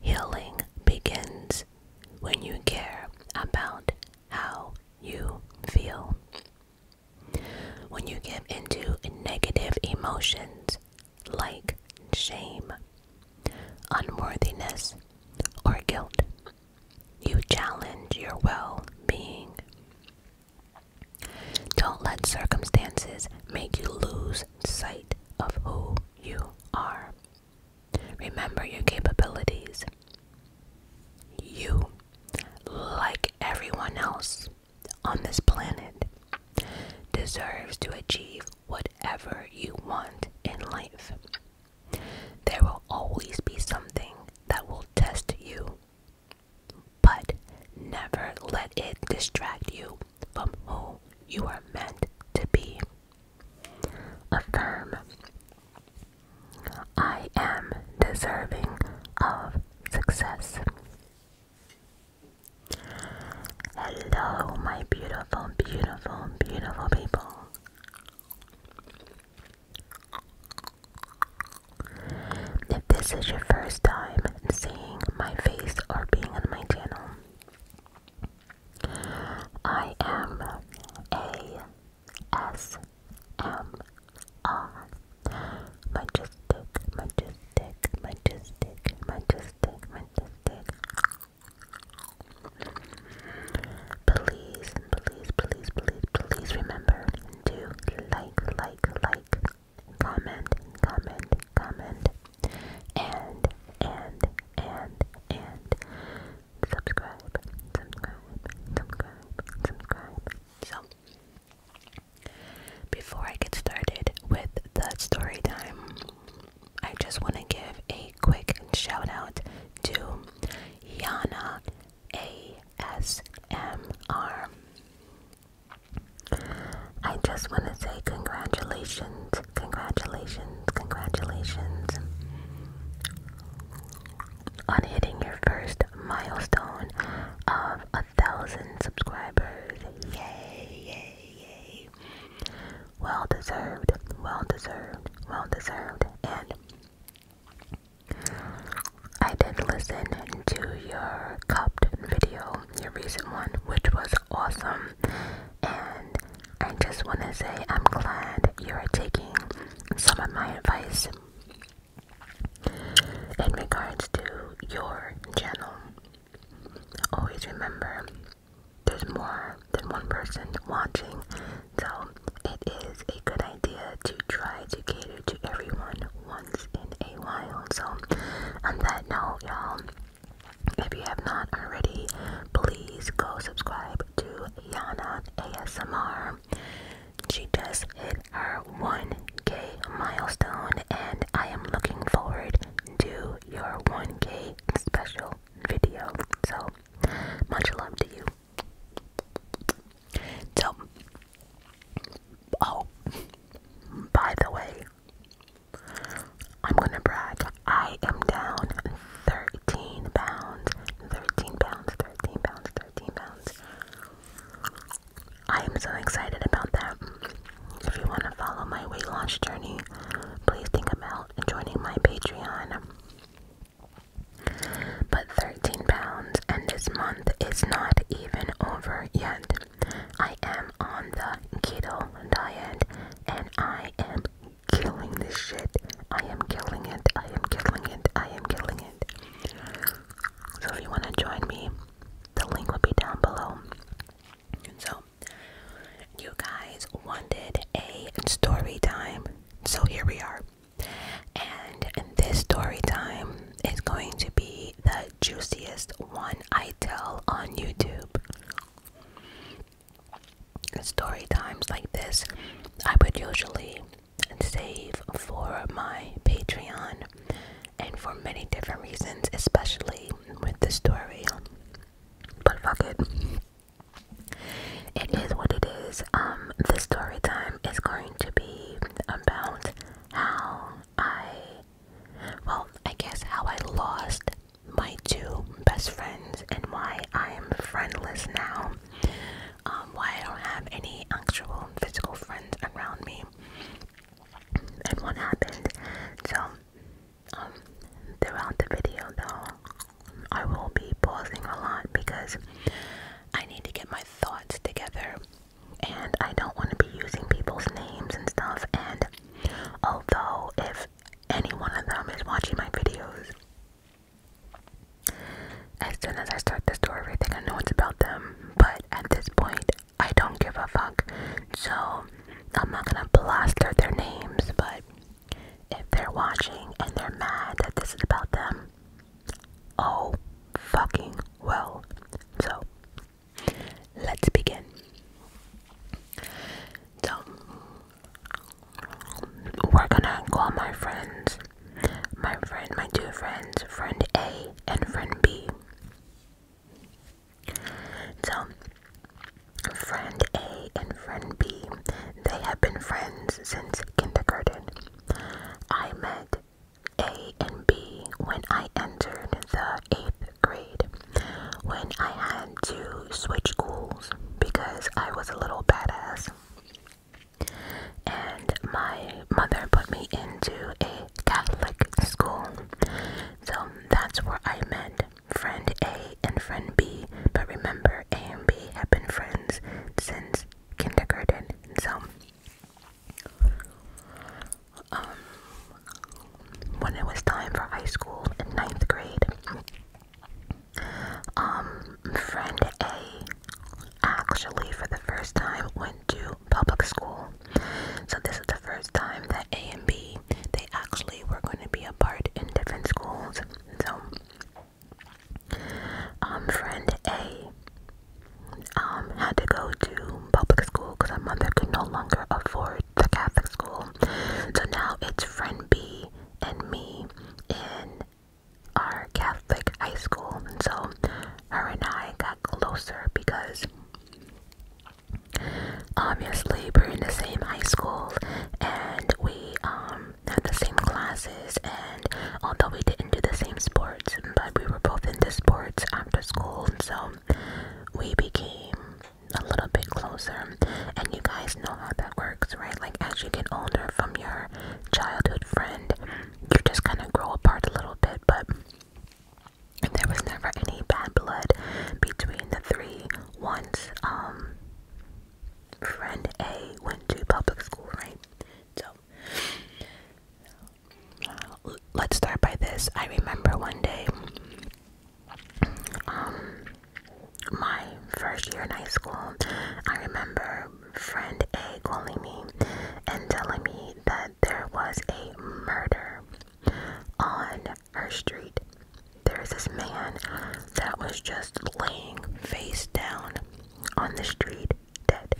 Healing begins when you care about how you feel. When you give into negative emotions like shame, unworthiness, or guilt, you challenge your well being. Don't let circumstances make you lose sight of who you are. Remember your capabilities. You, like everyone else on this planet, deserves to achieve whatever you want in life. There will always be something that will test you, but never let it distract you from who you are meant to be. Affirm I am deserving of success. Hello, my beautiful, beautiful, beautiful people. If this is your first time seeing my face or being on my channel, I am a S M R majestic, majestic, majestic, majestic, majestic. Please, please, please, please, please remember to like, like, like comment, comment, comment, and, and, and, and subscribe, subscribe, subscribe, subscribe. So, before I get started with the story time, I just want to give a quick shout out to Yana ASMR. I just want to say congratulations, congratulations, congratulations on hitting your first milestone of a thousand subscribers. Yay, yay, yay. Well deserved, well deserved, well deserved. And I did listen to your cupped video your recent one, which was awesome. And I just want to say I'm glad you're taking some of my advice in regards to your channel. Always remember there's more than one person watching, so it is a good idea to try to cater to everyone once in a while. So, on that note, y'all, if you have not already, please go subscribe to Yana ASMR. She just hit her 1k milestone, and I am looking forward to your 1k special video. So, much love to you. So, oh, by the way, I'm gonna brag. I am down 13 pounds. 13 pounds, 13 pounds, 13 pounds. I am so excited about that. If you want to follow my weight loss journey, please think about joining my Patreon. But 13 pounds, and this month is not even over yet. I am on the keto diet and I am killing this shit. I am killing it. I am killing it. I am killing it. So if you want to join me, the link will be down below. So you guys wanted a story time. So here we are. And this story time is going to be the juiciest one I tell on YouTube. Story times like this, I would usually save for my Patreon, and for many different reasons, especially with the story. But fuck it, it is what it is. Um, the story time is going to be about how I, well, I guess how I lost my two best friends and why I am friendless now, um, why I don't have any actual physical friends around me, and what happened. So, um, throughout the video, though, I will be pausing a lot because I need to get my thoughts together and I don't want to be using people's names and stuff. And Although, if any one of them is watching my videos, as soon as I start the story, they're gonna know it's about them. But at this point, I don't give a fuck. So, I'm not gonna blaster their names, but if they're watching and they're mad that this is about them, oh fucking well. So, Let's begin. So, we're gonna call my friends. My friend, my two friends, friend A and friend B. So, friend A and friend B, they have been friends since kindergarten. I met A and B when I entered the eighth grade when I had to switch schools because I was a little badass. And my mother put me into a Catholic school. So that's where I met friend A and friend B. But remember, A and B have been friends since kindergarten. So um, when it was time for high school in ninth grade, um, friend A actually for the first time went to public school. So this is the first time that A and B they actually were going to be apart in different schools. So, um, friend A um had to go to public school because her mother could no longer afford the Catholic school. So now it's friend B and me in our Catholic high school. And so her and I got closer because obviously we're in the same high school and we um had the same classes and although we didn't do the same sports but we were both into sports after school and so we became a little bit closer. And you guys know how that works, right? Like as you get older from your childhood friend, you just kind of grow apart a little bit, but there was never any bad blood between the three once um friend A went to public school, right? So let's start by this. I remember one day, um, my first year in high school, I remember friend A calling me and telling me that there was a murder on her street. There was this man that was just laying face down on the street dead.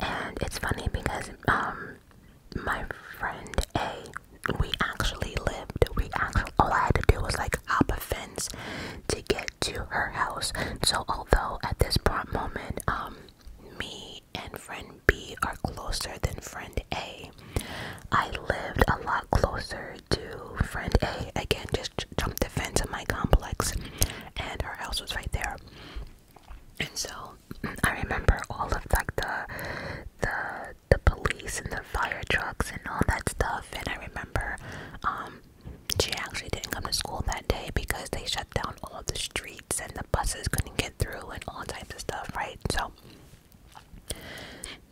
And it's funny because um my friend A, we actually lived. We actually all I had to do was like hop a fence to get to her house. So although at this point moment, um, me and friend B are closer than friend A, I lived a lot closer to friend A. Again, just jumped the fence of my complex, and her house was right there. And so I remember all of like the the the police and the fire trucks and all that stuff. And I remember um, she actually didn't come to school that day because they shut down all the streets and the buses couldn't get through and all types of stuff, right? So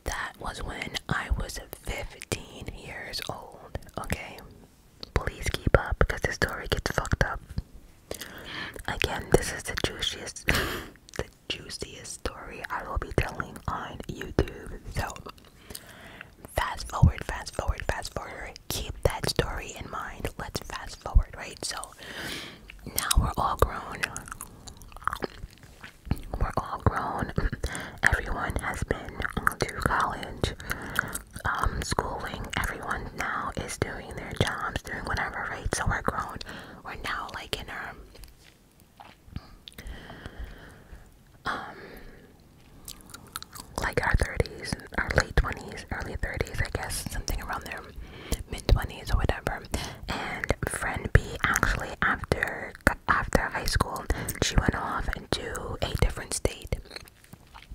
that was when I was 15 years old. Okay, please keep up because the story gets fucked up. Again, this is the juiciest, the juiciest story I will be telling on YouTube. So, fast forward, fast forward, fast forward. Keep that story in mind. Let's fast forward, right? So, now we're all grown. We're all grown. Everyone has been to college. Um, schooling, everyone now is doing their jobs, doing whatever, right? So we're grown. We're now like in our um like our 30s our late 20s early 30s i guess something around there mid 20s or whatever and friend b actually after after high school she went off into a different state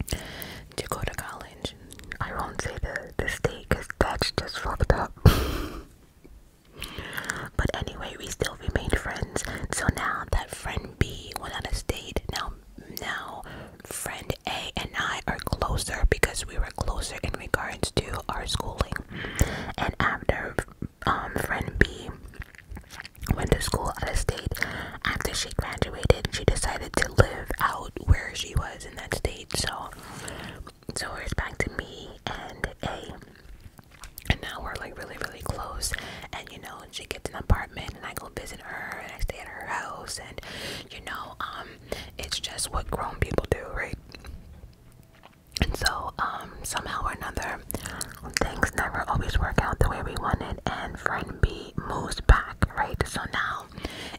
to go to college. I won't say the, the state because that's just fucked up. but anyway, we still remained friends. So now that friend B went out of state. Now, now friend A and I are closer because we were closer in regards to our schooling. And after um, friend B went to school out of state, after she graduated, she decided to live out where she was was in that state. So, so it's back to me and A. And now we're like really, really close. And you know, she gets an apartment, and I go visit her, and I stay at her house. And you know, um, it's just what grown people do, right? And so, um, somehow or another, things never always work out the way we wanted. And friend B moves back, right? So now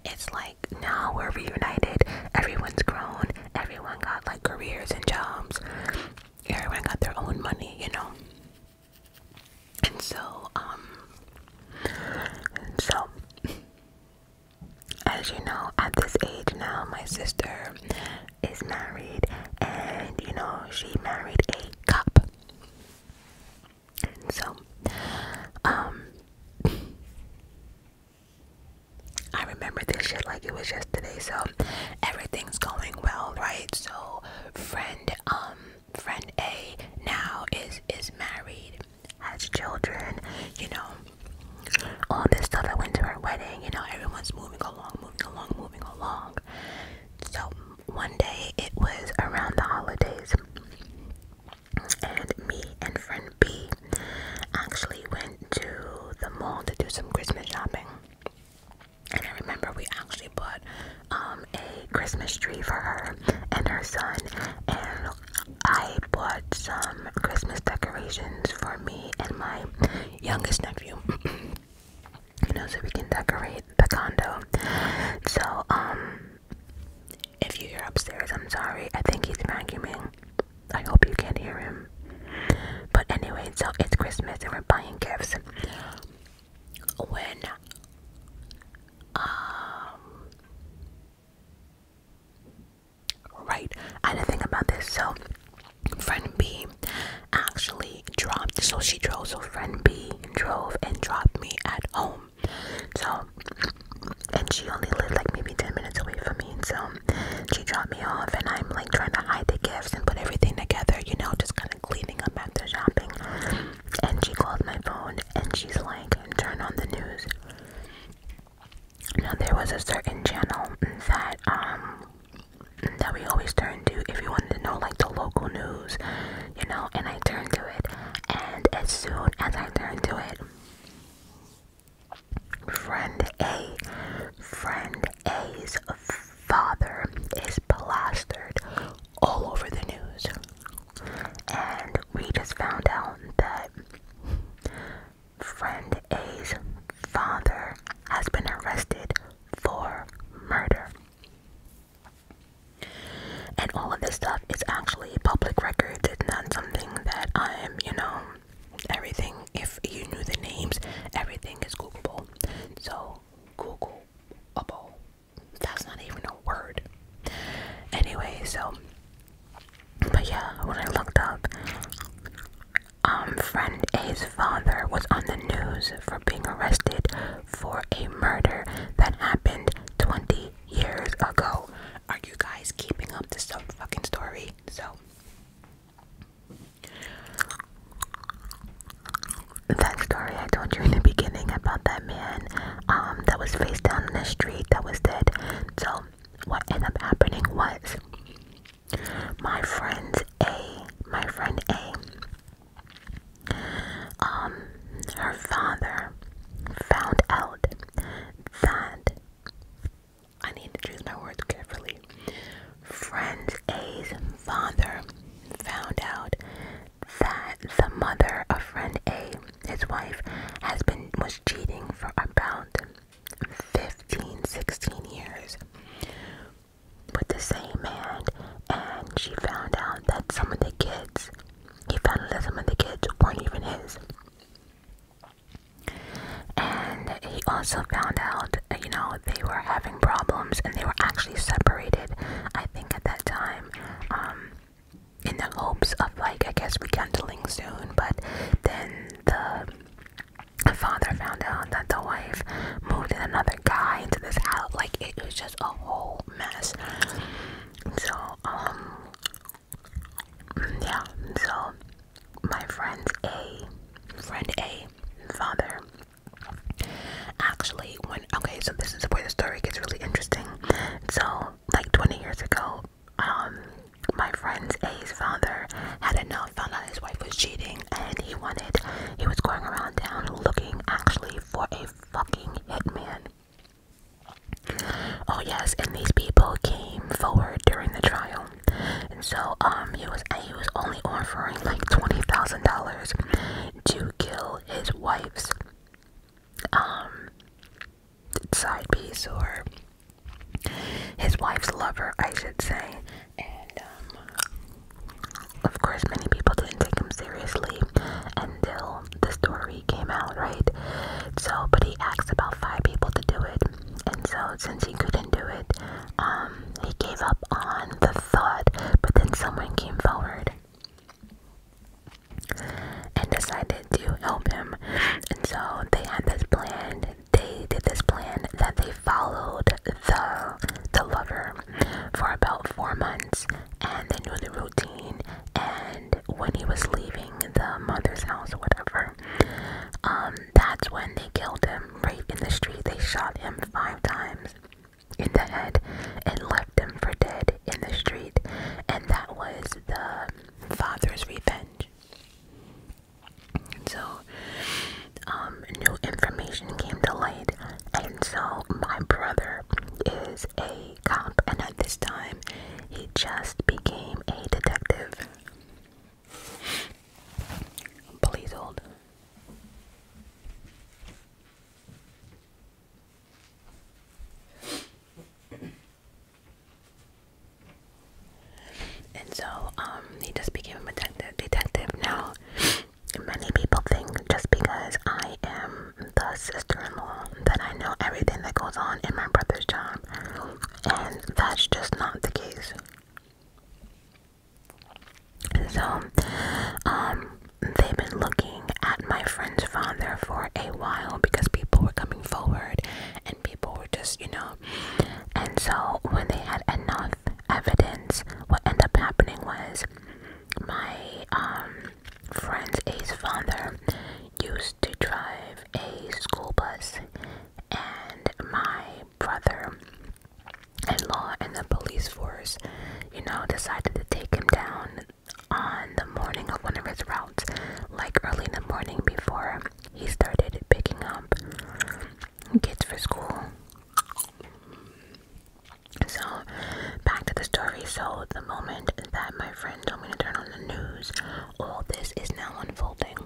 it's like now we're reunited. Everyone's grown. Everyone got like careers and jobs. Everyone got their own money, you know. And so, um, so as you know, at this age now, my sister is married, and you know, she married a cop so, um, I remember this shit like it was yesterday. So everything's going well, right? So friend, um, friend A now is is married, has children, you know. All this stuff. I went to her wedding. You know, everyone's moving along, moving along, moving along. So one day it was around the holidays and me and friend B actually went to the mall to do some Christmas shopping. And I remember we actually bought um, a Christmas tree for her and her son, and I bought some Christmas decorations for me and my youngest nephew. you know, so we can decorate the condo. So, um, if you hear upstairs, I'm sorry. I think he's vacuuming. I hope you can hear him. But anyway, so it's Christmas and we're buying gifts. When um right, I didn't think about this. So friend B actually dropped so she drove so friend B drove and dropped me at home so, and she only lived like maybe 10 minutes away from me. So, she dropped me off, and I'm like trying to hide the gifts and put everything together, you know, just kind of cleaning up after shopping. And she called my phone and she's like, turn on the news. Now, there was a certain channel that, um, that we always turned to if you wanted to know like the local news you know, and I turn to it. And as soon as I turn to it, friend A, friend A's father is plastered all over the news. And we just found out that friend A's father has been arrested for murder. And all of this stuff is actually public record. It's not something that I'm, you know, everything. If you knew the names, everything is Googleable. So, Googleable. That's not even a word. Anyway, so. But yeah, when I looked up, um, friend A's father was on the news for being arrested for a murder that happened 20 years ago. Are you guys keeping up this fucking story? So that story I told you in the beginning about that man um that was face down in the street that was dead. So what ended up happening was my friend A, my friend A um, her father found out that I need to choose my words carefully. Friend A's father found out that the mother of friend A, his wife, has been was cheating for about 15, 16 years with the same man, and she found out that some of the kids he found vandalism of the kids weren't even his. And he also found out, you know, they were having problems and they were actually separated, I think, at that time, um, in the hopes of, like, I guess rekindling soon. But then the father found out that the wife moved in another guy into this house. Like, it was just a whole mess. So, um, yeah, so my friend A, friend A, father, actually, when, okay, so this is where the story gets really interesting. So, like 20 years ago, um, my friend's A's father had enough, found out his wife was cheating, and he wanted, he was going around town looking actually for a fucking hitman. Oh yes, and these people came forward during the trial, and so um he was he was only offering like twenty thousand dollars to kill his wife's um side piece or his wife's lover, I should say, and um, of course many people didn't take him seriously, until the story came out, right? So, but he asked about five people to do it, and so since he couldn't do it, um, he gave up on the thought. But then someone came forward and decided to help him, and so they had this plan. They did this plan that they followed the the lover for about four months, and they knew the routine and when he was leaving the mother's house or whatever, um, that's when they killed him right in the street. They shot him five times in the head and left him for dead in the street, and that was the father's revenge. So, um, new information came to light, and so my brother is a a and at this time, he just became a detective. Please hold. And so, um, he just became a detective. Detective now. Many people think just because I am the sister-in-law that I know everything that goes on in my brother's job, and that's just not the case. So, um, they've been looking at my friend's father for a while because people were coming forward and people were just, you know. And so, when they had enough evidence, what ended up happening was my um, friends A's father used to drive a school bus, and my brother in law and the police force, you know, decided to take him down on the morning of one of his routes, like early in the morning before he started picking up kids for school. So, back to the story. So, the moment that my friend told me to turn on the news, all this is now unfolding.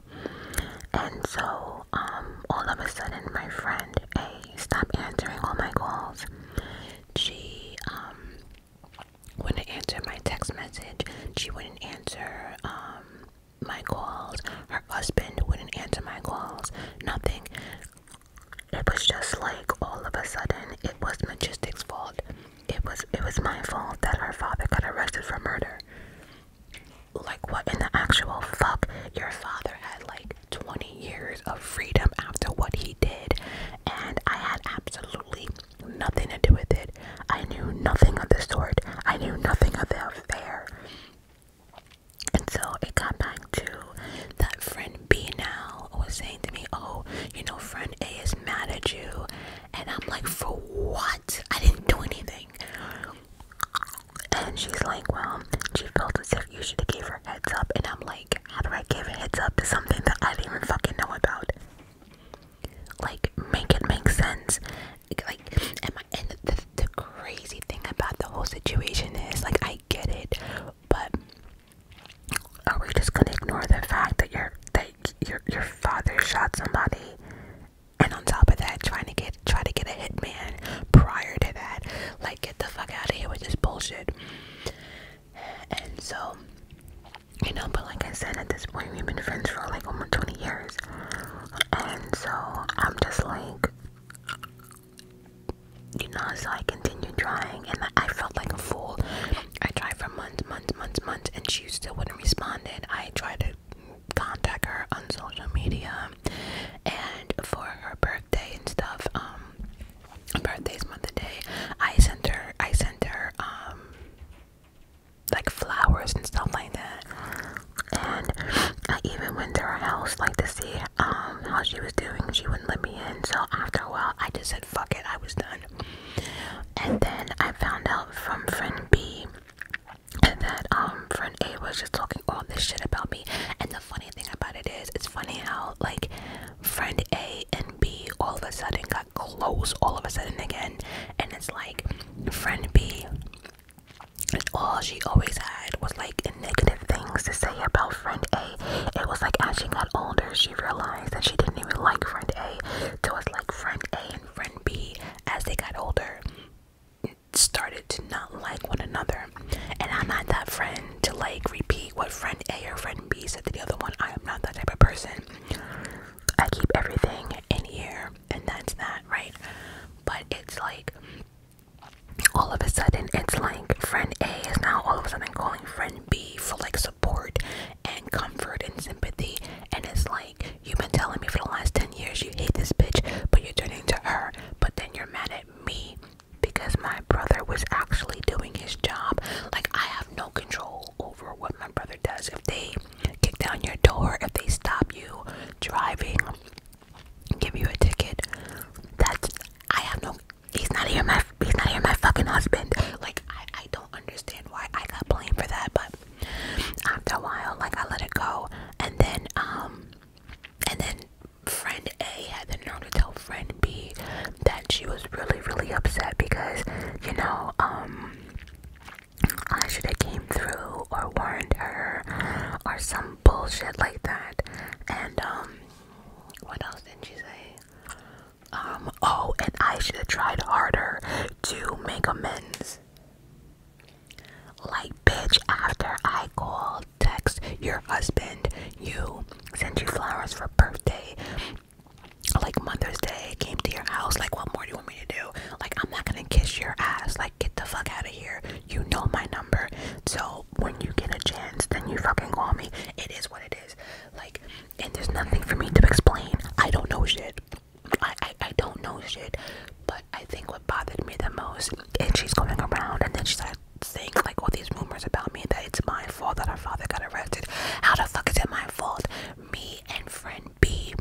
And so, um, all of a sudden, my friend A stopped answering all my calls. She, um, wouldn't answer my text message. She wouldn't answer, um, my calls. Her husband wouldn't answer my calls. Nothing it was just like all of a sudden it was Majestic's fault. It was it was my fault that her father got arrested for murder. Like what in the actual fuck? Your father had like 20 years of freedom after what he did and I had absolutely nothing to do with it. I knew nothing of the sort. I knew nothing of the affair. And so it got back to that friend B now was saying to me, "Oh, you know, friend A is mad at you," and I'm like, "For what? I didn't do anything." And she's like, "Well, she felt as if you should have gave her heads up," and I'm like, "How do I give heads up to something that I didn't even fucking know about?" Like, make it make sense. Like, am I?" and the crazy thing about the whole situation is, like, I get it. But are we just gonna ignore the fact that your that your your father shot somebody, and on top of that, trying to get try to get a hitman prior to that? Like, get the fuck out of here with this bullshit. And so, you know, but like I said, at this point, we've been friends for like over twenty years, and so I'm just like you know, so I continued trying and I felt like a fool. I tried for months, months, months, months, and she still wouldn't respond. And I tried to contact her on social media and for her birthday and stuff. Um, birthday's month a day. I sent her, I sent her, um, like flowers and stuff like that. And I even went to her house like to see um, how she was doing. She wouldn't let me in. So after a while, I just fuck it, I was done. And then I found out from friend B that um friend A was just talking all this shit about me. And the funny thing about it is, it's funny how like friend A and B all of a sudden got close all of a sudden again. And it's like friend B all she always had was like negative things to say about friend A it was like as she got older, she realized that she didn't even like friend A. So it's like friend A and friend B, as they got older, started to not like one another. And I'm not that friend to like repeat what friend A or friend B said to the other one. I am not that type of person. I keep everything in here, and that's that, right? But it's like all of a sudden, it's like friend A is now all of a sudden calling friend B for like support and comfort and sympathy. And it's like, you've been telling me for the last 10 years you hate this bitch, but you're turning to her, but then you're mad at me because my brother was actually doing his job. Like, I have no control over what my brother does. If they kick down your door, if they stop you driving, give you a ticket, that's, I have no, He's not here, my he's not even my fucking husband. Like I, I don't understand why I got blamed for that, but after a while, like I let it go. And then um and then friend A had the nerve to tell friend B that she was really, really upset because, you know, um I should have came through or warned her or some bullshit like that. And um what else did she say? Um, oh, and I should have tried harder to make amends. Like, bitch, after I called, text your husband, you sent you flowers for birthday, like Mother's Day, came to your house. Like, what more do you want me to do? Like, I'm not gonna kiss your ass. Like, get the fuck out of here. You know my number. So, when you get a chance, then you fucking call me. It is what it is. Like, and there's nothing for me to explain. I don't know shit. I, I, I don't know shit. But I think what bothered me the most, and she's going around and then she like, saying like all these rumors about me that it's my fault that our father got arrested. How the fuck is it my fault? Me and friend B.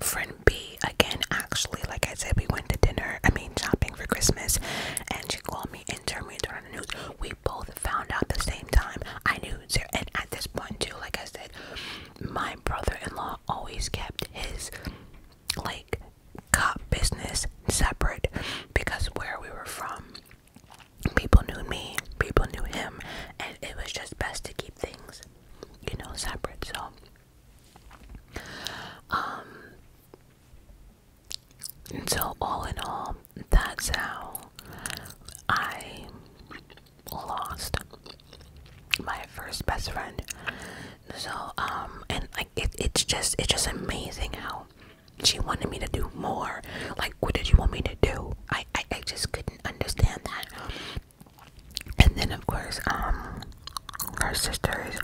Friend B again actually like I said we went to dinner I mean shopping for Christmas and she called me we both found out the same time. I knew, and at this point too, like I said, my brother-in-law always kept his like cop business separate because where we were from, people knew me, people knew him, and it was just best to keep things, you know, separate. So, um, so, all in all, that's how I lost my first best friend. So, um, and like it's just, it's just amazing how she wanted me to do more. Like, what did you want me to do? I, I, I just couldn't understand that. And then, of course, um, her sisters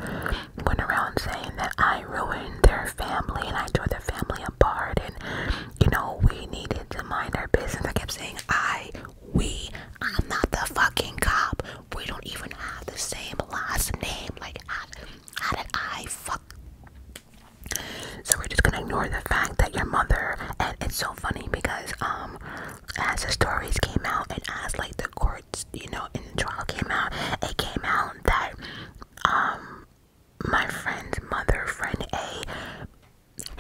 went around saying that I ruined their family and I tore the family apart and you know we needed to mind our business. I kept saying I we I'm not the fucking cop. We don't even have the same last name. Like how, did I fuck so we're just gonna ignore the fact that your mother and it's so funny because um as the stories came out and as like the courts you know and the trial came out it came out that um my friend's mother, friend A,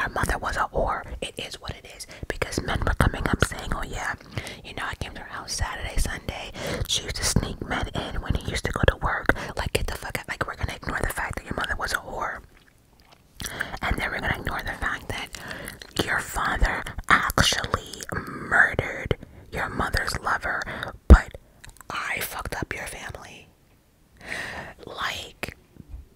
her mother was a whore. It is what it is. Because men were coming up saying, oh yeah, you know, I came to her house Saturday, Sunday. She used to sneak men in when he used to go to work. Like, get the fuck out. Like, we're going to ignore the fact that your mother was a whore. And then we're going to ignore the fact that your father actually murdered your mother's lover. But I fucked up your family. Like,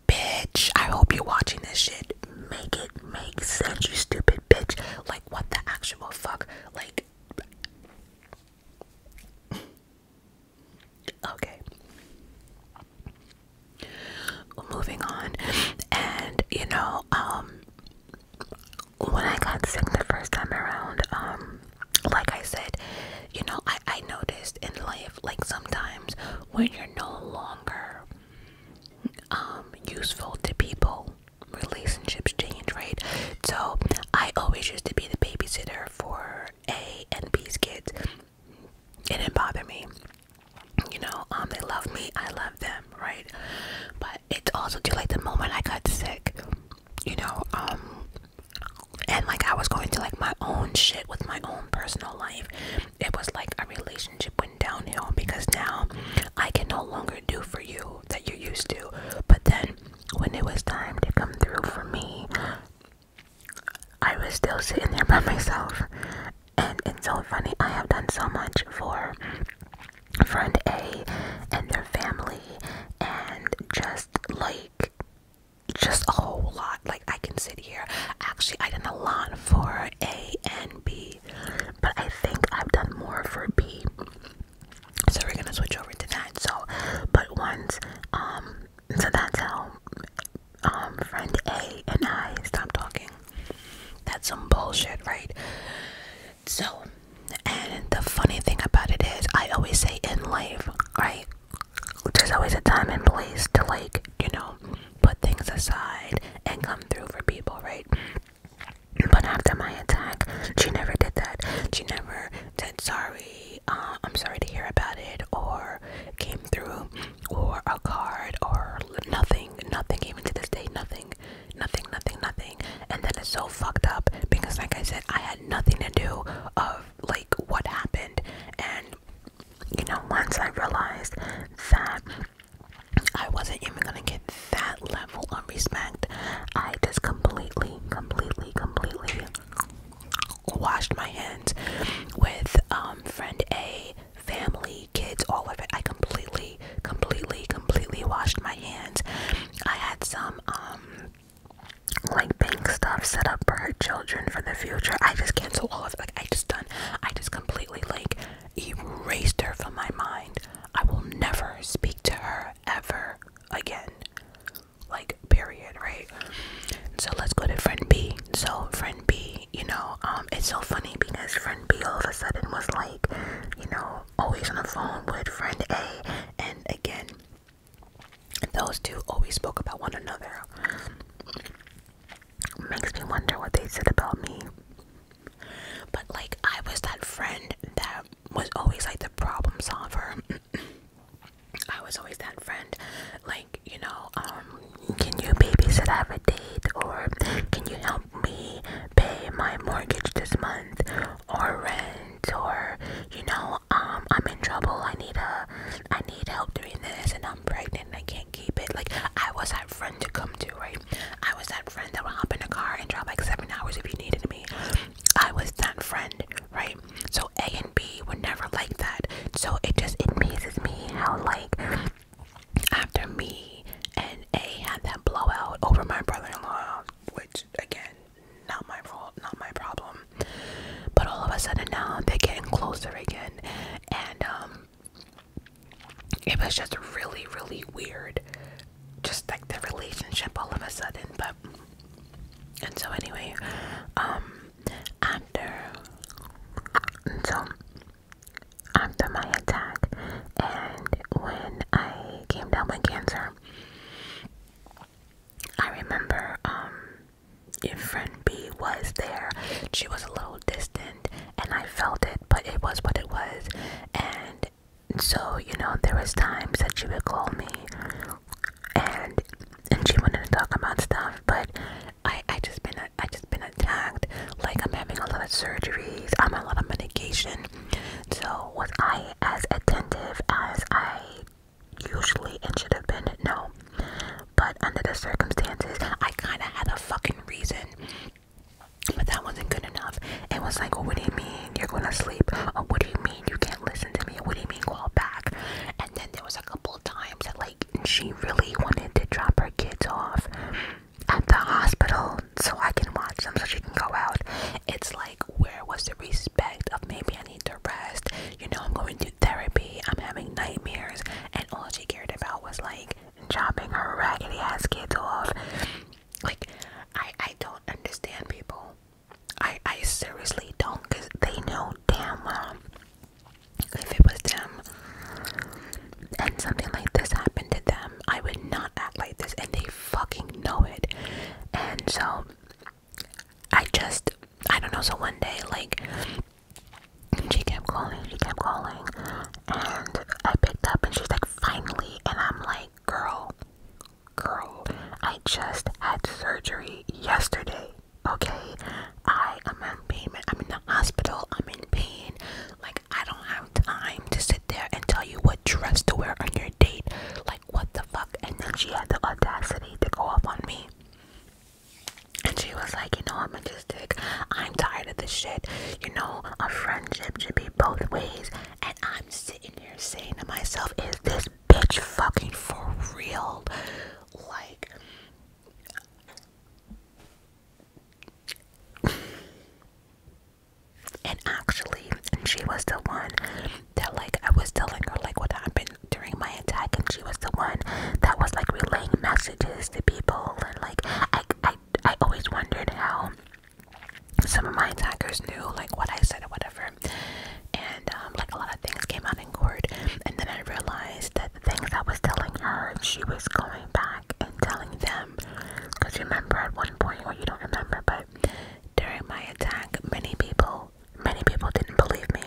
bitch, I hope you're watching this shit. Make it make sense, you stupid bitch. Like, what the actual fuck? Like, okay. Moving on, and you know, um, when I got sick the first time around, um, like I said, you know, I, I noticed in life, like sometimes when you're no longer um, useful to people, relationships change, right? So I always used to be the babysitter for A and B's kids. It didn't bother me. You know, um, they love me, I love them, right? But it's also too like the moment I got sick you know, um, and like I was going to like my own shit with my own personal life. It was like a relationship went downhill because now I can no longer do for you that you used to. But then when it was time to come through for me, I was still sitting there by myself. And it's so funny, I have done so much for friend A and their family and just like just a whole lot like i can sit here actually i did a lot for a and b but i think i've done more for b so we're gonna switch over to that so but once um so that's how um friend a and i stop talking that's some bullshit right so and the funny thing about it is, I always say in life, right? There's always a time and place to, like, you know, put things aside and come through for people, right? But after my attack, she never did that. She never said sorry, uh, I'm sorry to hear about it, or came through, or a card, or nothing, nothing, even to this day, nothing, nothing nothing, nothing, And then it's so fucked up because, like I said, I had nothing to do of like what happened. And you know, once I realized that I wasn't even gonna get that level of respect, I just completely, completely, completely washed my hands with um, friend A, family, kids, all of it. I completely, completely, completely washed my hands. I had some um, like bank stuff set up for her children for the future. I just cancel all of it. Like I just done. I just completely like erased her from my mind. I will never speak to her ever again. Like period, right? So let's go to friend B. So friend B, you know, um, it's so funny because friend B all of a sudden was like, you know, always on the phone with friend A, and again, those two always spoke about one another. Makes me wonder what they said about me. But like, I was that friend that was always like the problem solver. I was always that friend, like you know, um, can you babysit? I have a date, or can you help me pay my mortgage this month, or rent? you know um, i'm in trouble i need a i need help doing this and i'm pregnant i can't keep it like i was that friend to come to right i was that friend that would hop in the car and drive like seven hours if you needed me i was that friend right so a and b were never like that so it just amazes me how like after me and a had that blowout over my brother-in-law which again, not my fault, not my problem. But all of a sudden now they're getting closer again, and um, it was just really, really weird, just like the relationship all of a sudden. But and so anyway, um, after so after my attack, and when I came down with cancer. I remember if um, friend B was there, she was a little distant and I felt it, but it was what it was. And so, you know, there was times that she would call me and and she wanted to talk about stuff, but I I just been I just been attacked. Like I'm having a lot of surgeries, I'm on a lot of medication. So, was I as attentive as I usually and should have been? No. But under the circumstances, I kind of had a fucking reason. But that wasn't good enough. It was like, what do you mean you're going to sleep? Or what do you mean you can't listen to me? What do you mean call back? And then there was a couple of times that, like, she really wanted to drop her kids off at the hospital so I can watch them so she can go out. It's like, where was the respect of maybe I need to rest, you know, I'm going to therapy, I'm having nightmares, and all she cared about was like chopping her raggedy ass kids off. Like, I I don't understand people. I I seriously don't, cause they know damn well if it was them and something like this happened to them, I would not act like this, and they fucking know it. And so um, I just I don't know. So one day, like she kept calling, she kept calling, and I picked up, and she's like, "Finally!" And I'm like, "Girl, girl, I just had surgery yesterday. Okay, I am in pain. I'm in the hospital. I'm in pain. Like I don't have time to sit there and tell you what dress to wear on your date. Like." what the fuck? And then she had the audacity to go off on me. And she was like, you know, I'm majestic. I'm tired of this shit. You know, a friendship should be both ways. And I'm sitting here saying to myself, is this bitch fucking for real? Like, and actually she was the one that like i was telling her like what happened during my attack and she was the one that was like relaying messages to people and like i i, I always wondered how some of my attackers knew like what i said or whatever and um, like a lot of things came out in court and then i realized that the things i was telling her she was going back and telling them because you remember at one point or you don't remember but during my attack, many people many people didn't believe me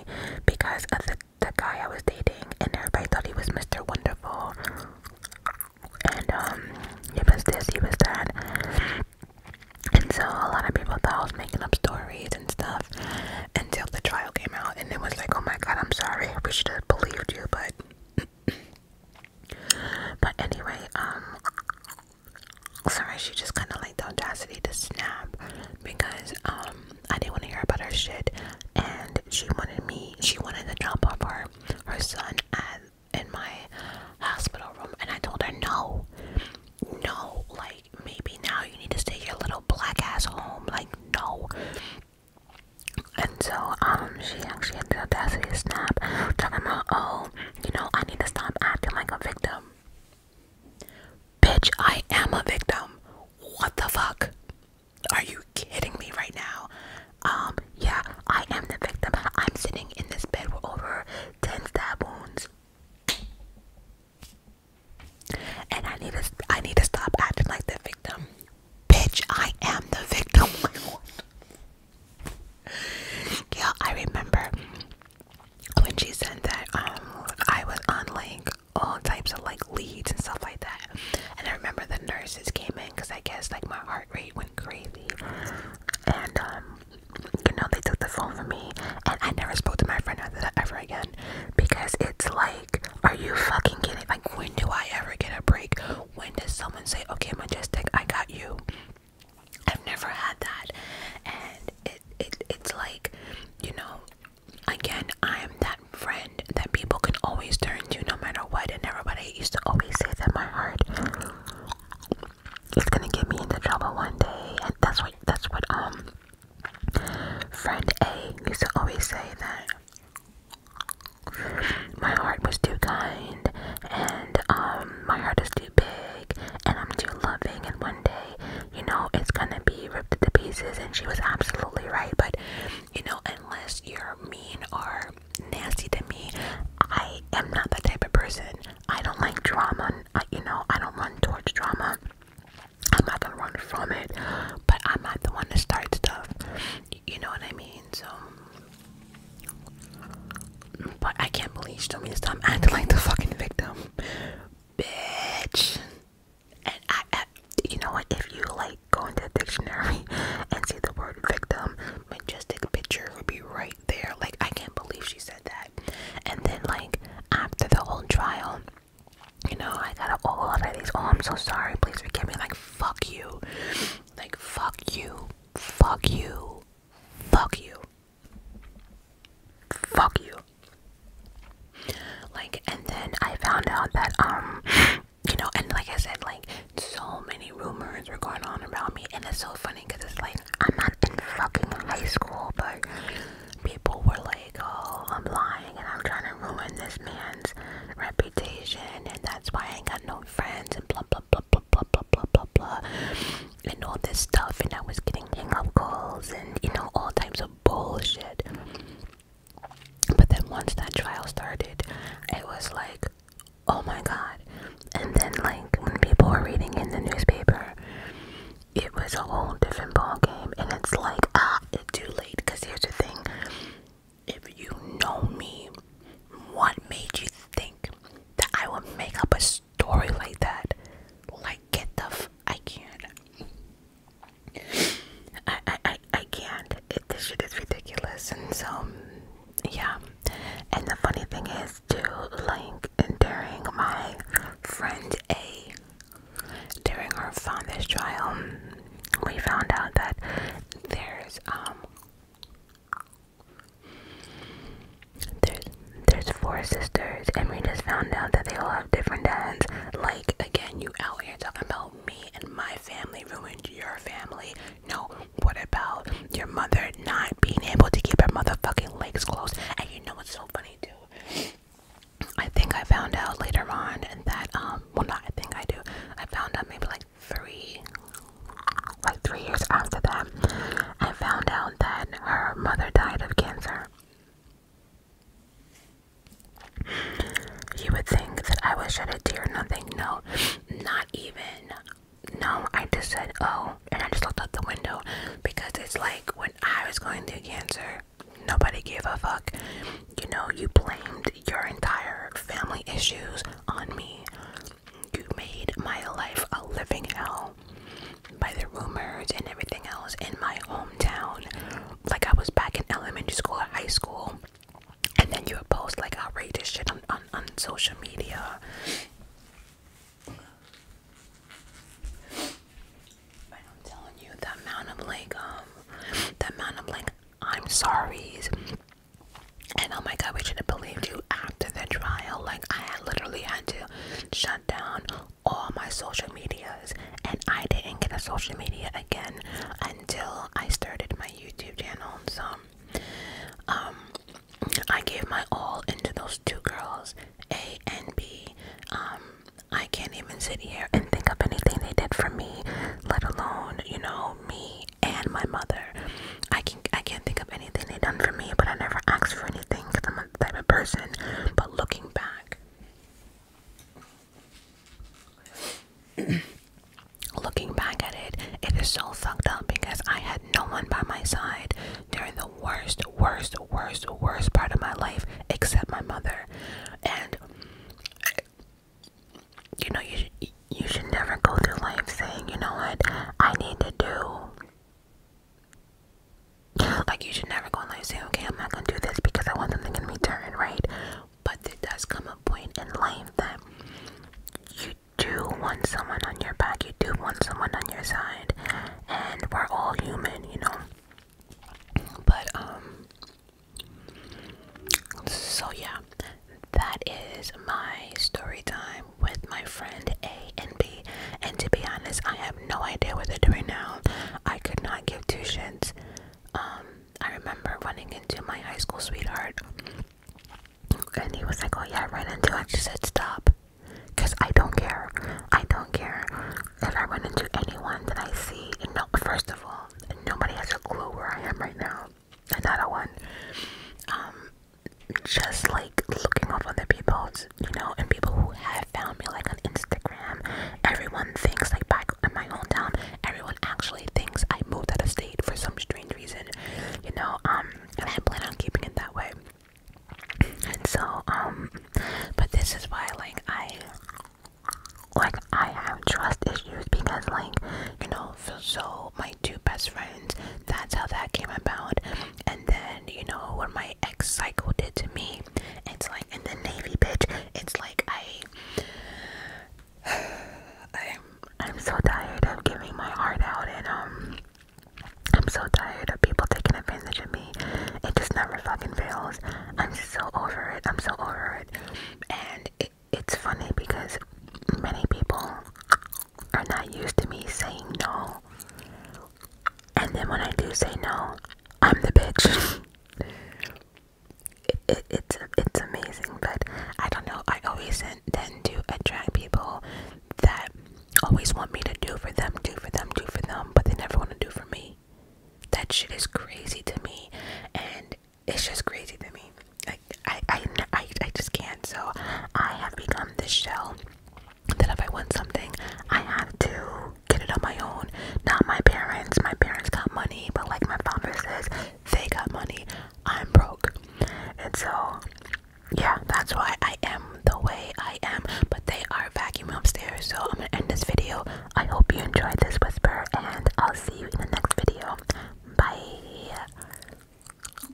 because of the, the guy I was dating, and everybody thought he was Mr. Wonderful. And um, he was this, he was that. And so a lot of people thought I was making up stories and stuff until the trial came out, and it was like, oh my god, I'm sorry, we should have believed you, but. but anyway, um, Sorry, she just kind of like the audacity to snap because um I didn't want to hear about her shit, and she wanted me. She wanted to drop off her her son at in my hospital room, and I told her no, no. Like maybe now you need to take your little black ass home. Like no. And so um she actually had the audacity to snap talking about oh you know, I need to stop acting like a victim. Bitch, I am a victim. What the fuck? Are you kidding me right now? Um, yeah, I am the victim. I'm sitting in this bed with over 10 stab wounds. And I need to I need to stop acting like the victim. Bitch, I am the victim. yeah, I remember when she said that um, I was on like all types of like leads and stuff like that. And I remember the nurses came in because I guess like my heart rate went crazy. And um, you know, they took the phone from me. And I never spoke to my friend after that ever again because it's like, are you fucking kidding? Like, when do I ever get a break? When does someone say, okay, Majestic, I got you? I've never had that, and it it it's like, you know, again, I'm that friend that people can always turn to no matter what, and everybody used to always say that my heart is gonna get me into trouble one day, and that's what that's what um friend A used to always say that my heart was too kind and um my heart is too big and I'm too loving and one day, you know, it's gonna be ripped to pieces and she was absolutely right. But you know, unless you're mean or nasty to me, I am not the type of person. I don't like drama, I, you know, I don't run towards drama. I'm not gonna run from it, but I'm not the one to start stuff. You know what I mean? So but I can't believe she told me to stop acting like the fucking victim, bitch. And I, you know what? If you like go into the dictionary and see the word victim, majestic picture would be right there. Like I can't believe she said that. And then like after the whole trial, you know, I got up all of these. Oh, I'm so sorry. Please forgive me. Like fuck you. Like fuck you. Fuck you. Fuck you fuck you like and then i found out that um you know and like i said like so many rumors were going on around me and it's so funny because it's like i'm not in fucking high school but people were like oh i'm lying and i'm trying to ruin this man's reputation and that's why i ain't got no friends and blah blah blah blah blah blah blah blah and all this stuff and I was getting hang up calls and you know all types of bullshit. But then once that trial started, it was like, oh my god. And then like when people were reading in the newspaper, it was a whole different ball game and it's like ah it's too late cuz here's the thing. If you know me, what made you think that I would make up a story like that. Like get the f I can't. I I I, I can't. It, this shit is ridiculous, and so yeah. And the funny thing is, too, like during my friend A, during her father's trial, we found out that there's um there's there's four sisters, and we just found out that they all have different dads. Like again, you out here talking about me and my family ruined your family. No, what about your mother not being able to keep her motherfucking legs closed? And you know what's so funny too? I think I found out later on and that um well not I think I do. I found out maybe like three like three years after that, I found out that her mother died of cancer. You would think that I was shed a tear, nothing, no, not even. No, I just said, oh, and I just looked out the window because it's like when I was going through cancer, nobody gave a fuck. You know, you blamed your entire family issues on me. You made my life a living hell by the rumors and everything else in my hometown. Like I was back in elementary school or high school. And then you would post like outrageous shit on, on, social media. I'm telling you, the amount of like, um, the amount of like, I'm sorry's and oh my god, we should have believed you after the trial. Like I had literally had to shut down all my social medias and I didn't get a social media again until I started my YouTube channel. So um I gave my all into those two girls, A and B. Um I can't even sit here and think of anything they did for me, let alone, you know, me and my mother I can I can't think of anything they've done for me, but I never asked for anything because I'm the type of person. But looking back, looking back at it, it is so fucked up because I had no one by my side during the worst, worst, worst, worst part of my life except my mother, and you know you you should never go through life saying you know what I need to do like you should never go and like say, okay, I'm not gonna do this because I want something in turned right? But there does come a point in life that you do want someone on your back, you do want someone on your side, and we're all human, you know. But um so yeah, that is my story time with my friend A and B, and to be honest, I have no idea what they're doing now. I could not give two shits. Um, I remember running into my high school sweetheart, and he was like, "Oh yeah, I ran into." I just said, "Stop," because I don't care. I don't care if I run into anyone that I see. And no, first of all, nobody has a clue where I am right now. Another one. Um, just like looking up other people, you know, and people who have found me like on Instagram. Everyone thinks like back on my hometown, everyone actually thinks I moved out of state for some strange reason, you know. Um, and I plan on keeping it that way. And so, um, but this is why like I like I have trust issues because like you know so, so my two best friends that's how that came about and then you know what my ex cycle did to me it's like in the navy bitch it's like i i'm i'm so tired of giving my heart out and um i'm so tired of people taking advantage of me it just never fucking fails i'm so over it i'm so over it and it's funny because many people are not used to me saying no. And then when I do say no, I'm the bitch. it, it's it's amazing, but I don't know. I always tend to attract people that always want me to do for them, do for them, do for them, but they never want to do for me. That shit is crazy to me, and it's just crazy to me. Like I, I, I, just can't. So I have become this shell that if I want something, I have to get it on my own. Not my parents. My parents got money, but like my founder says, they got money. I'm broke. And so, yeah, that's why I am the way I am. But they are vacuuming upstairs. So I'm going to end this video. I hope you enjoyed this whisper, and I'll see you in the next video. Bye.